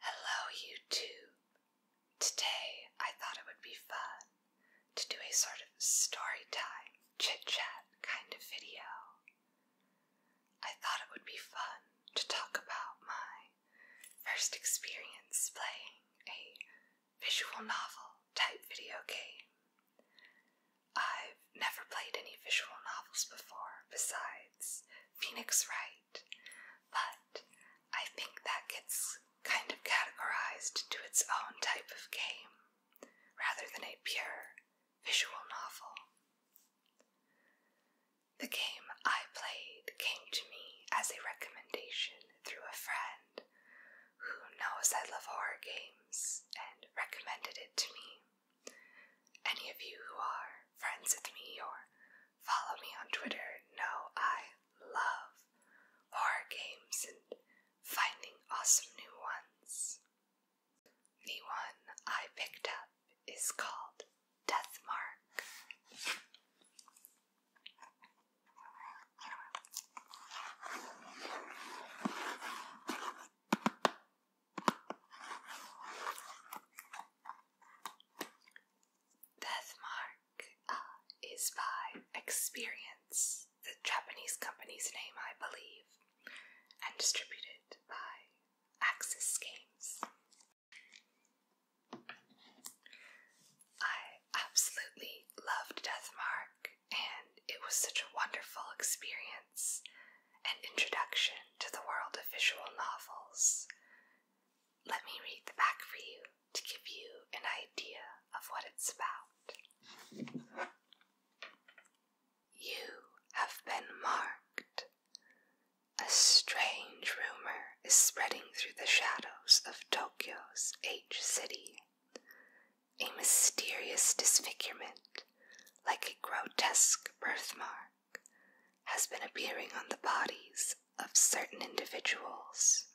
Hello, YouTube! Today I thought it would be fun to do a sort of story time, chit chat kind of video. I thought it would be fun to talk about my first experience playing a visual novel type video game. I've never played any visual novels before besides Phoenix Wright, but I think that gets kind of categorized to its own type of game rather than a pure visual novel. The game I played came to me as a recommendation through a friend who knows I love horror games and recommended it to me. Any of you who are friends with me or Follow me on Twitter. No, I love horror games and finding awesome new ones. The one I picked up is called Deathmark. Deathmark uh, is by Experience, the Japanese company's name, I believe, and distributed by Axis Games. I absolutely loved Deathmark, and it was such a wonderful experience an introduction to the world of visual novels. Let me read the back for you to give you an idea of what it's about. You have been marked. A strange rumor is spreading through the shadows of Tokyo's H City. A mysterious disfigurement, like a grotesque birthmark, has been appearing on the bodies of certain individuals.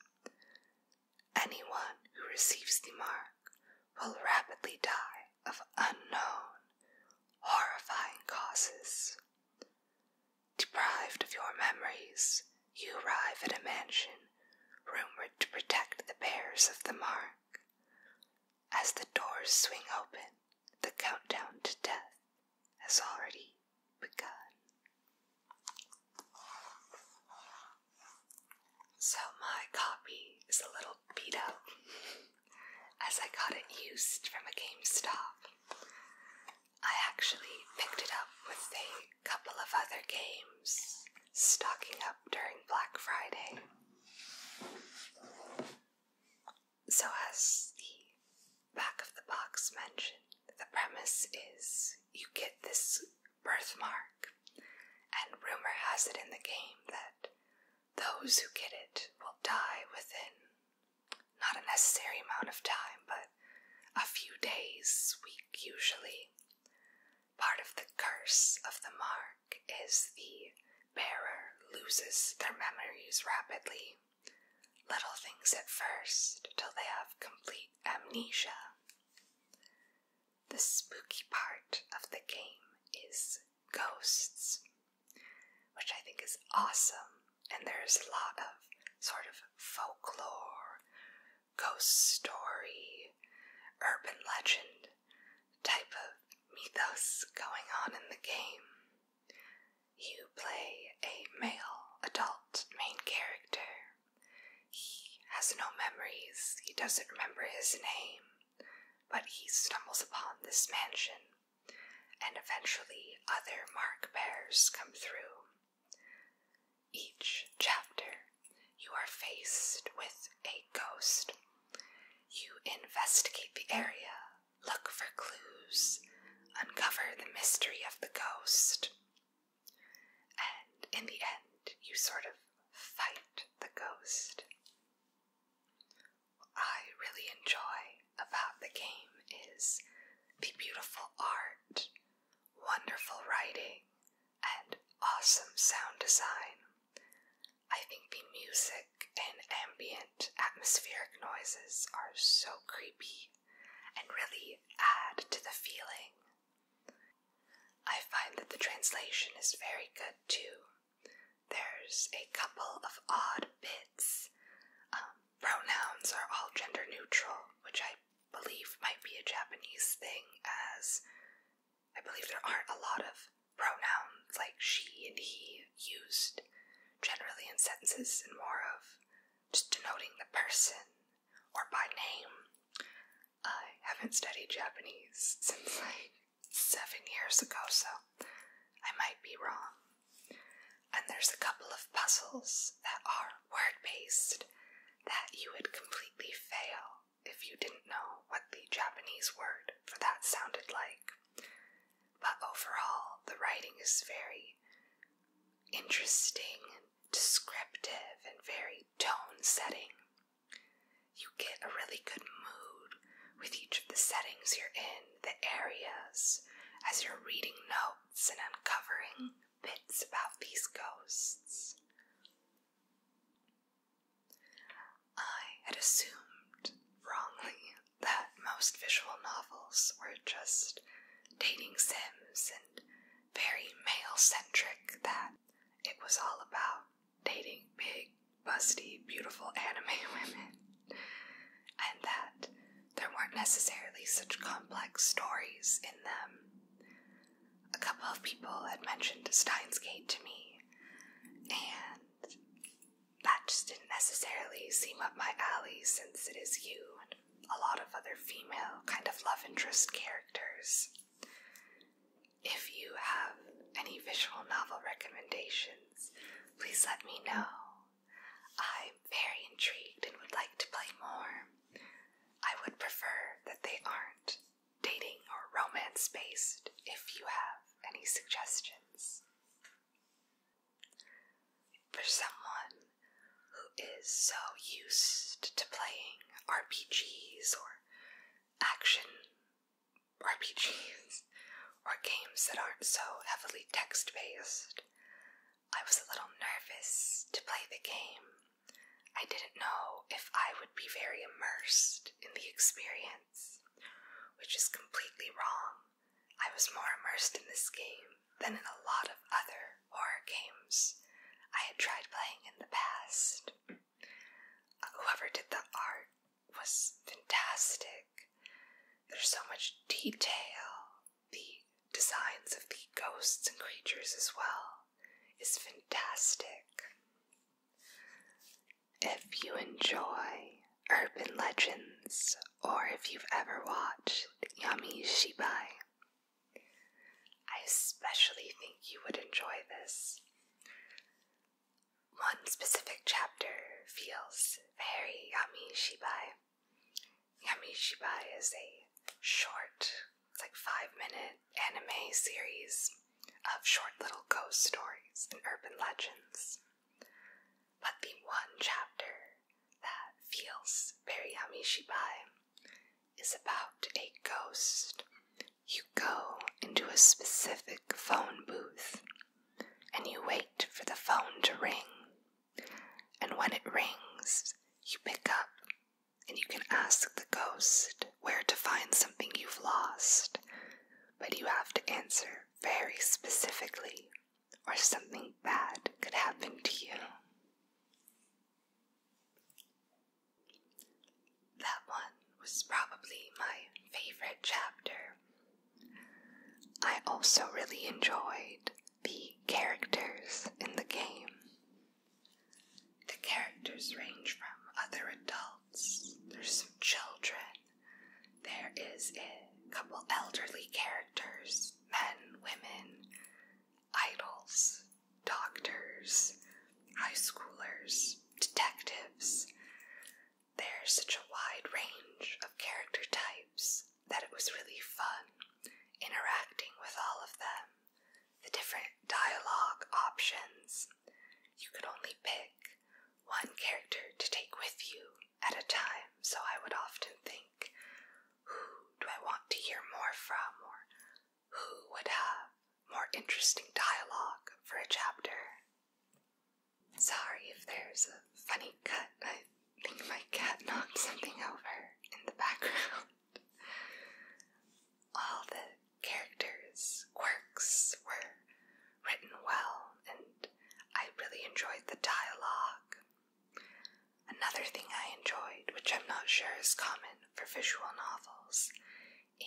Anyone who receives the mark will rapidly die of unknown, horrifying causes. Deprived of your memories, you arrive at a mansion rumored to protect the bearers of the mark. As the doors swing open, the countdown to death has already begun. So, my copy is a little beat up as I got it used from a GameStop. I actually picked it up with a couple of other games stocking up during Black Friday. So, as the back of the box mentioned, the premise is you get this birthmark, and rumor has it in the game that those who get it will die within not a necessary amount of time, but a few days, week usually. Part of the curse of the mark is the bearer loses their memories rapidly. Little things at first till they have complete amnesia. The spooky part of the game is ghosts, which I think is awesome, and there's a lot of sort of folklore, ghost story, urban legend type of mythos going on in the game. You play a male adult main character. He has no memories, he doesn't remember his name, but he stumbles upon this mansion, and eventually other mark Bears come through. Each chapter, you are faced with a ghost. You investigate the area look for clues, uncover the mystery of the ghost. And in the end, you sort of fight the ghost. What I really enjoy about the game is the beautiful art, wonderful writing, and awesome sound design. I think the music and ambient atmospheric noises are so creepy and really add to the feeling. I find that the translation is very good too. There's a couple of odd bits. Um, pronouns are all gender neutral, which I believe might be a Japanese thing, as I believe there aren't a lot of pronouns like she and he used generally in sentences and more of just denoting the person or by name. I haven't studied Japanese since like seven years ago, so I might be wrong. And there's a couple of puzzles that are word based that you would completely fail if you didn't know what the Japanese word for that sounded like. But overall, the writing is very interesting and descriptive and very tone setting. You get a really good mood with each of the settings you're in, the areas, as you're reading notes and uncovering bits about these ghosts. I had assumed wrongly that most visual novels were just dating sims and very male centric, that it was all about dating big, busty, beautiful anime women, and that there weren't necessarily such complex stories in them. A couple of people had mentioned Steins Gate to me, and that just didn't necessarily seem up my alley since it is you and a lot of other female kind of love interest characters. If you have any visual novel recommendations, please let me know. I'm very intrigued and would like to play more. I would prefer that they aren't dating or romance based if you have any suggestions. For someone who is so used to playing RPGs or action RPGs or games that aren't so heavily text based, I was a little nervous to play the game. I didn't know if I would be very immersed in the experience, which is completely wrong. I was more immersed in this game than in a lot of other horror games I had tried playing in the past. Whoever did the art was fantastic. There's so much detail. The designs of the ghosts and creatures as well is fantastic. If you enjoy urban legends or if you've ever watched Yami Shibai, I especially think you would enjoy this. One specific chapter feels very Yami Shibai. Yami Shibai is a short, it's like five minute anime series of short little ghost stories and urban legends. But the one chapter that feels very Amishibai is about a ghost. You go into a specific phone booth and you wait for the phone to ring. And when it rings, you pick up and you can ask the ghost where to find something you've lost but you have to answer very specifically, or something bad could happen to you. That one was probably my favorite chapter. I also really enjoyed the characters in the game. The characters range from other adults there's some children, there is a couple elderly characters men, women, idols, doctors, high schoolers, detectives. There's such a wide range of character types that it was really fun interacting with all of them. The different dialogue options. You could only pick one character to take with you at a time, so I would often think, who do I want to hear more from, or who would have more interesting dialogue for a chapter? Sorry if there's a funny cut. I think my cat knocked something over in the background. All the characters' quirks were written well, and I really enjoyed the dialogue. Another thing I enjoyed, which I'm not sure is common for visual novels,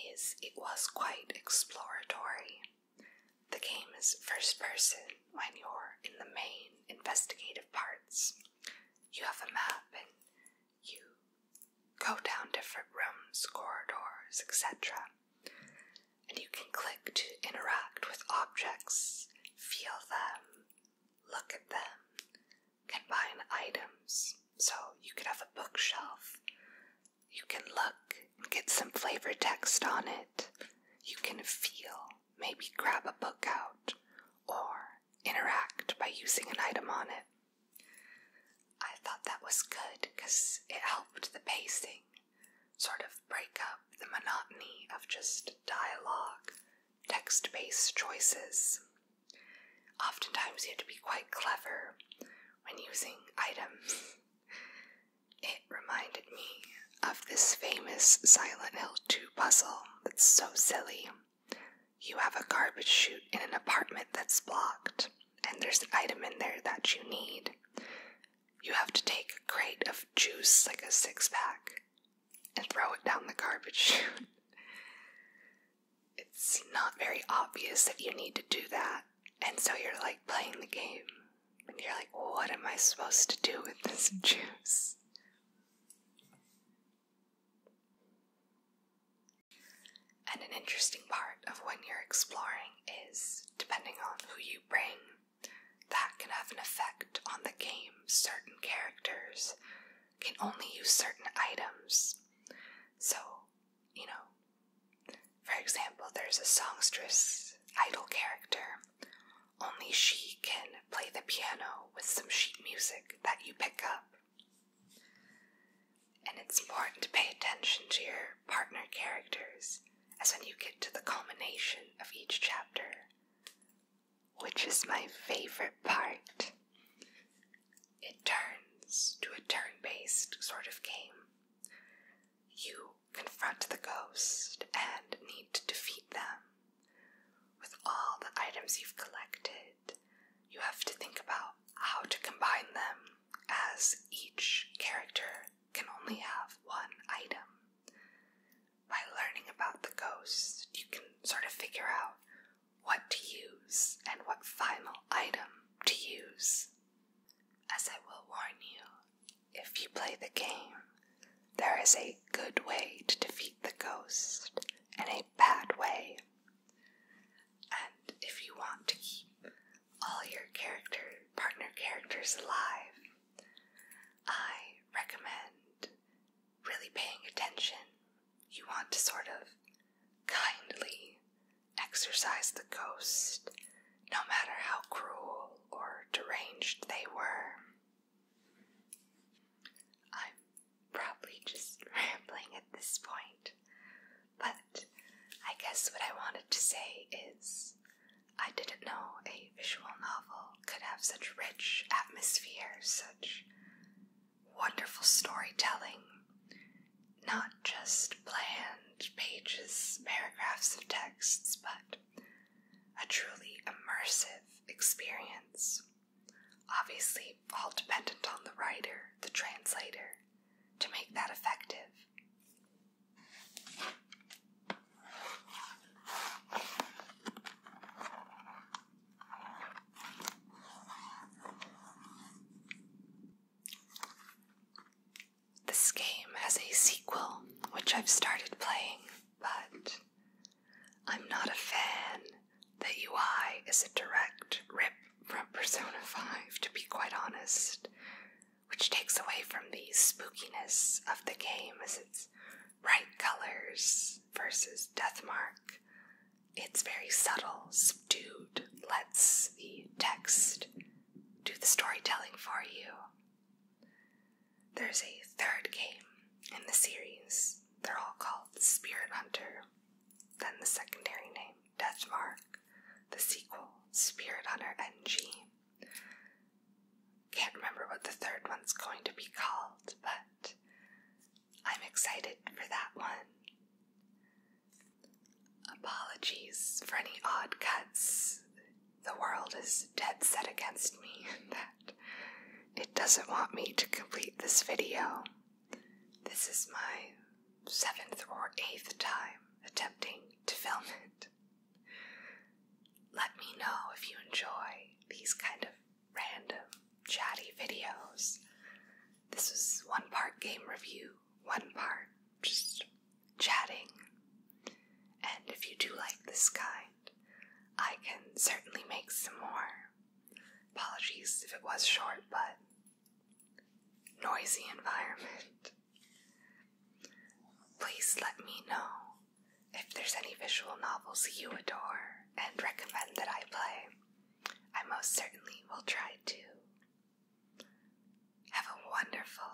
is it was quite exploratory. The game is first person when you're in the main investigative parts. You have a map and you go down different rooms, corridors, etc. And you can click to interact with objects, feel them, look at them, combine items. So you could have a bookshelf. You can look and get some flavor text on it. You can feel, maybe grab a book out, or interact by using an item on it. I thought that was good because it helped the pacing sort of break up the monotony of just dialogue, text based choices. Oftentimes, you have to be quite clever when using items. It reminded me of this famous Silent Hill 2 puzzle that's so silly. You have a garbage chute in an apartment that's blocked and there's an item in there that you need. You have to take a crate of juice, like a six pack, and throw it down the garbage chute. it's not very obvious that you need to do that, and so you're like playing the game, and you're like, what am I supposed to do with this juice? And an interesting part of when you're exploring is depending on who you bring, that can have an effect on the game. Certain characters can only use certain items. So, you know, for example, there's a songstress idol character. Only she can play the piano with some sheet music that you pick up. And it's important to pay attention to your partner characters, as when you get to the culmination of each chapter, which is my favorite part. It turns to a turn based sort of game. You confront the ghost and need to defeat them. With all the items you've collected, you have to think about how to combine them as each character can only have one item. By learning about the ghost, you can sort of figure out what to use and what final item to use. As I will warn you, if you play the game, there is a good way to defeat the ghost and a bad way. And if you want to keep all your character partner characters alive. I recommend really paying attention. You want to sort of kindly exorcise the ghost, no matter how cruel or deranged they were. I'm probably just rambling at this point. But I guess what I wanted to say is I didn't know a visual novel could have such rich atmosphere, such wonderful storytelling. Not just bland pages, paragraphs of texts, but a truly immersive experience. Obviously, all dependent on the writer, the translator, to make that effective. This game has a sequel which I've started playing, but I'm not a fan. The UI is a direct rip from Persona 5, to be quite honest, which takes away from the spookiness of the game as it's bright colors versus Death Mark. It's very subtle, subdued, lets the text do the storytelling for you. There's a third game in the series. They're all called Spirit Hunter, then the secondary name. Deathmark, the sequel, Spirit Hunter NG. Can't remember what the third one's going to be called, but I'm excited for that one. Apologies for any odd cuts. The world is dead set against me that it doesn't want me to complete this video. This is my seventh or eighth time attempting to film it. Let me know if you enjoy these kind of random, chatty videos. This is one part game review, one part just chatting. And if you do like this kind, I can certainly make some more. Apologies if it was short, but noisy environment. Please let me know if there's any visual novels you adore and recommend that I play. I most certainly will try to. Have a wonderful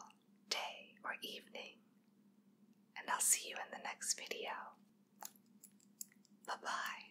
day or evening, and I'll see you in the next video. Bye bye.